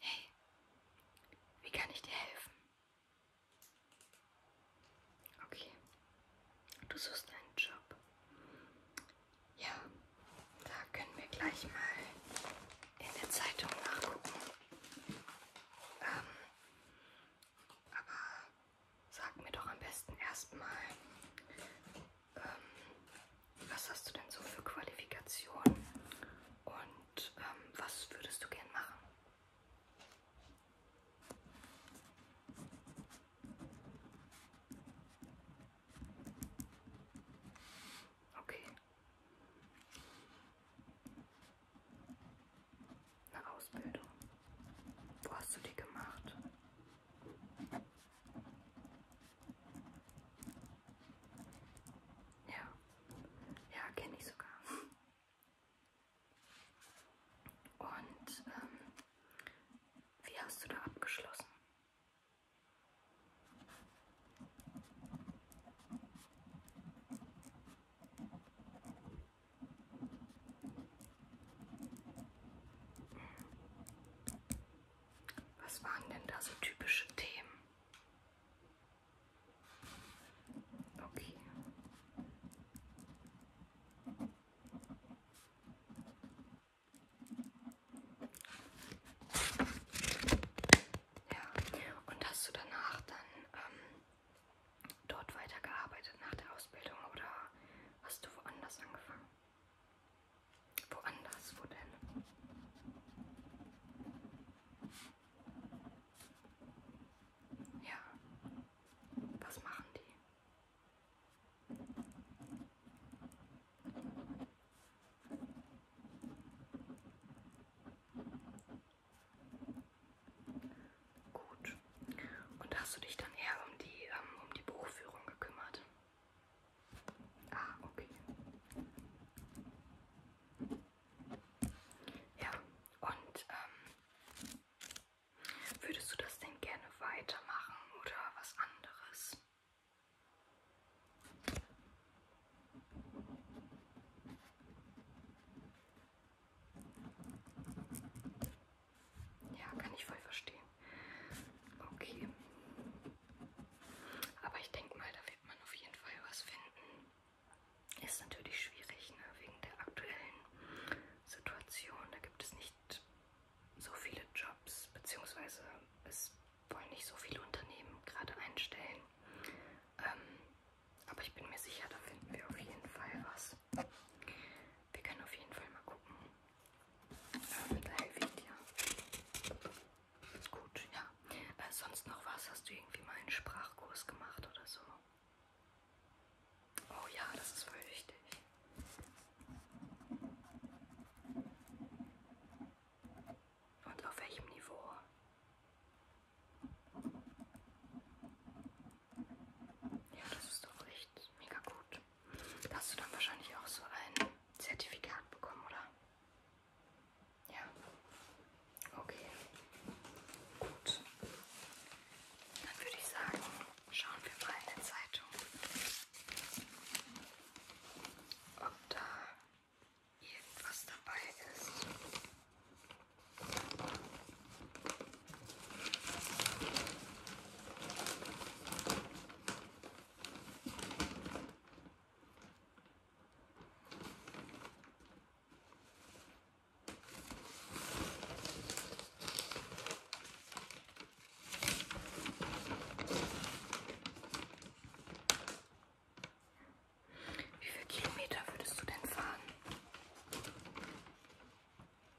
Hey, wie kann ich dir helfen? Okay, du suchst einen Job. Ja, da können wir gleich mal in der Zeitung nachgucken. Ähm, aber sag mir doch am besten erstmal, ähm, was hast du denn so für Qualifikationen und ähm, was würdest du gern machen? Okay. Eine Ausbildung. Wo hast du die gemacht? Ja, ja, kenne ich sogar. Und ähm, wie hast du da abgeschlossen? Was waren denn da so typische Themen? Okay. Ja, und hast du danach dann ähm, dort weitergearbeitet nach der Ausbildung oder hast du woanders angefangen? Woanders, wo denn? Ja, was machen die? Gut. Und hast du dich dann eher um die, ähm, um die Buchführung gekümmert? Ah, okay. Ja, und ähm, würdest du das denn gerne weitermachen oder was anderes? Ja, kann ich voll verstehen. Okay. Aber ich denke mal, da wird man auf jeden Fall was finden. Ist natürlich schwierig, ne? wegen der aktuellen Situation. Da gibt es nicht so viele Jobs, beziehungsweise es wollen nicht so viele Unternehmen gerade einstellen. Ähm, aber ich bin mir sicher, da finden wir auf jeden Fall was. Wir können auf jeden Fall mal gucken, äh, mit Helwig, ja. Ist gut, ja. Äh, sonst noch was? Hast du irgendwie mal einen Sprachkurs gemacht oder so? Oh ja, das ist voll wichtig. Und auf welchem Niveau? Ja, das ist doch echt mega gut. Da hast du dann wahrscheinlich auch so ein Zertifikat bekommen, oder? Ja. Okay. Gut. Dann würde ich sagen, schauen wir mal in der Zeitung, ob da irgendwas dabei ist. Wie viele Kilometer würdest du denn fahren?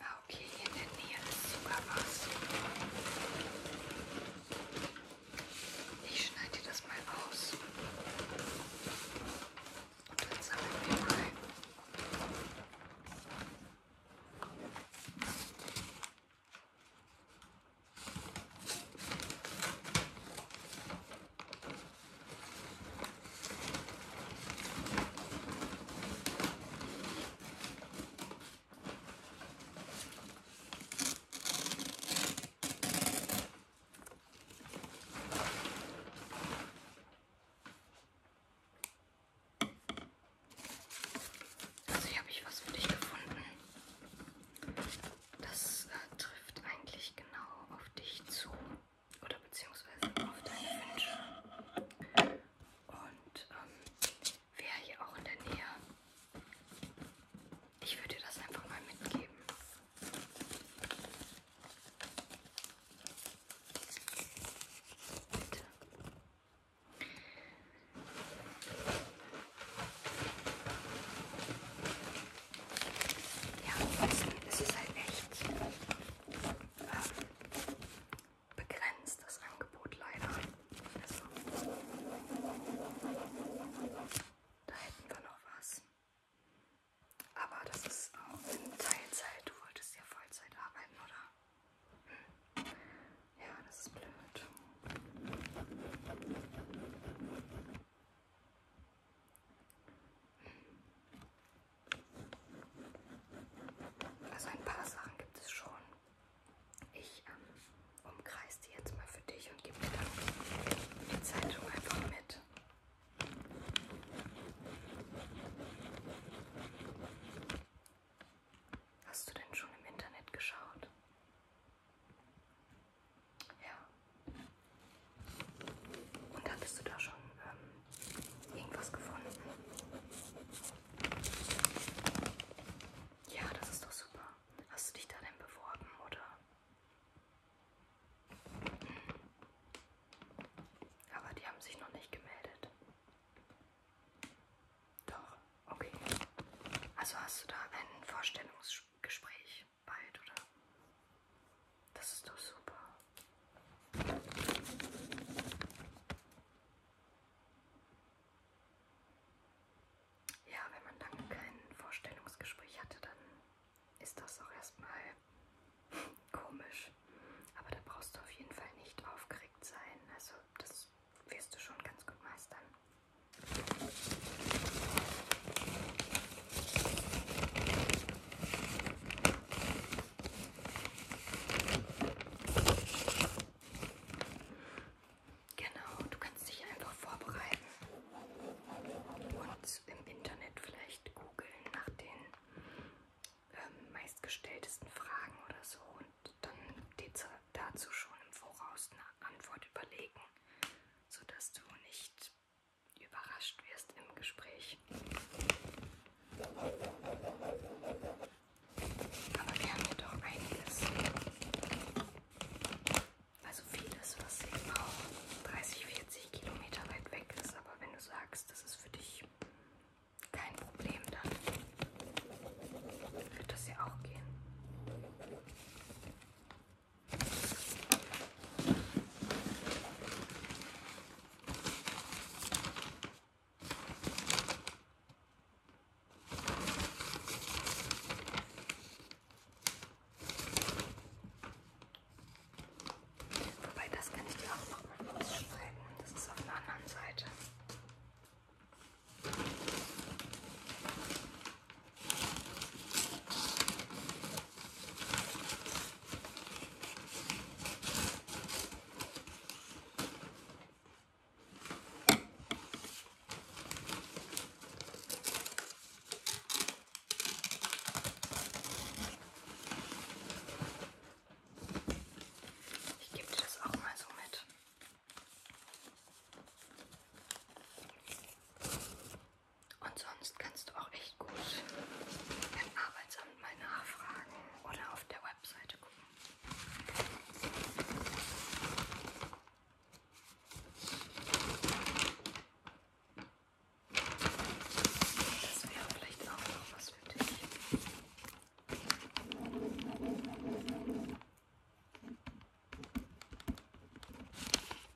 Ah, okay, hier in der Nähe ist sogar was. Ich schneide das mal aus. Und dann sammeln wir mal. Also hier habe ich was für dich gefunden. Das äh, trifft eigentlich genau auf dich zu oder beziehungsweise auf deine Wünsche. Und ähm, wer hier auch in der Nähe, ich würde dir das einfach mal mitgeben. Bitte. Ja, es ist halt echt äh, begrenzt, das Angebot leider. Also, da hätten wir noch was. Aber das ist auch in Teilzeit. Du wolltest ja Vollzeit arbeiten, oder? Hm. Ja, das ist blöd. Also ein paar Sachen gibt es schon. Ich ähm, umkreise die jetzt mal für dich und gebe dir dann die Zeitung einfach mit. Hast du denn schon im Internet geschaut? Ja. Und hattest du da schon ähm, irgendwas gefunden? Ja, das ist doch super. Hast du dich da denn beworben, oder? Hm. Aber die haben sich noch nicht gemeldet. Doch, okay. Also hast du da ein Vorstellungsgespräch? bald, oder? Das ist doch super. Ja, wenn man dann kein Vorstellungsgespräch hatte, dann ist das auch erstmal komisch. Aber da brauchst du auf jeden Fall nicht aufgeregt sein. Also das wirst du schon ganz gut meistern. Genau, du kannst dich einfach vorbereiten und im Internet vielleicht googeln nach den ähm, meistgestelltesten Fragen oder so und dann dazu schon im Voraus eine Antwort überlegen, sodass du nicht überrascht wirst im Gespräch. Aber wir haben ja doch einiges. Also vieles, was eben auch 30, 40 Kilometer weit weg ist. Aber wenn du sagst, das ist für dich kein Problem, dann wird das ja auch gehen. Wobei das kann ich dir auch nochmal ausstrecken. Das ist auf der anderen Seite. Ich gebe dir das auch mal so mit. Und sonst kannst du auch echt gut im Arbeitsamt mal nachfragen oder auf der Webseite gucken. Das wäre vielleicht auch noch was für dich.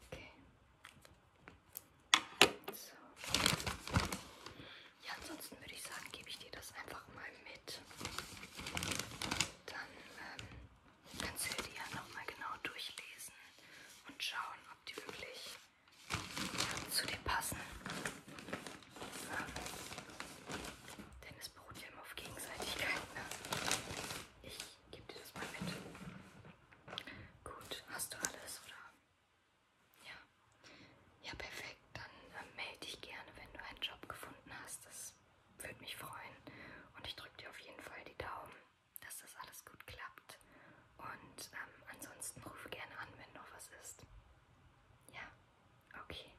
Okay. So. Ja, ansonsten würde ich sagen, gebe ich dir das einfach mal mit. Dann ähm, kannst du dir ja nochmal genau durchlesen und schauen, ob die wirklich ja, zu dir passen. Ja. Ähm, denn es beruht ja immer auf Gegenseitigkeit. Ne? Ich ich gebe dir das mal mit. Gut, hast du alles, oder? Ja. Ja, perfekt. Dann äh, melde dich gerne, wenn du einen Job gefunden hast. Das würde mich freuen. Und ich drücke dir auf jeden Fall die Daumen, dass das alles gut klappt. Und ähm, ansonsten ruf gerne an, wenn noch was ist. Ja, okay.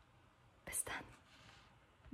Bis dann.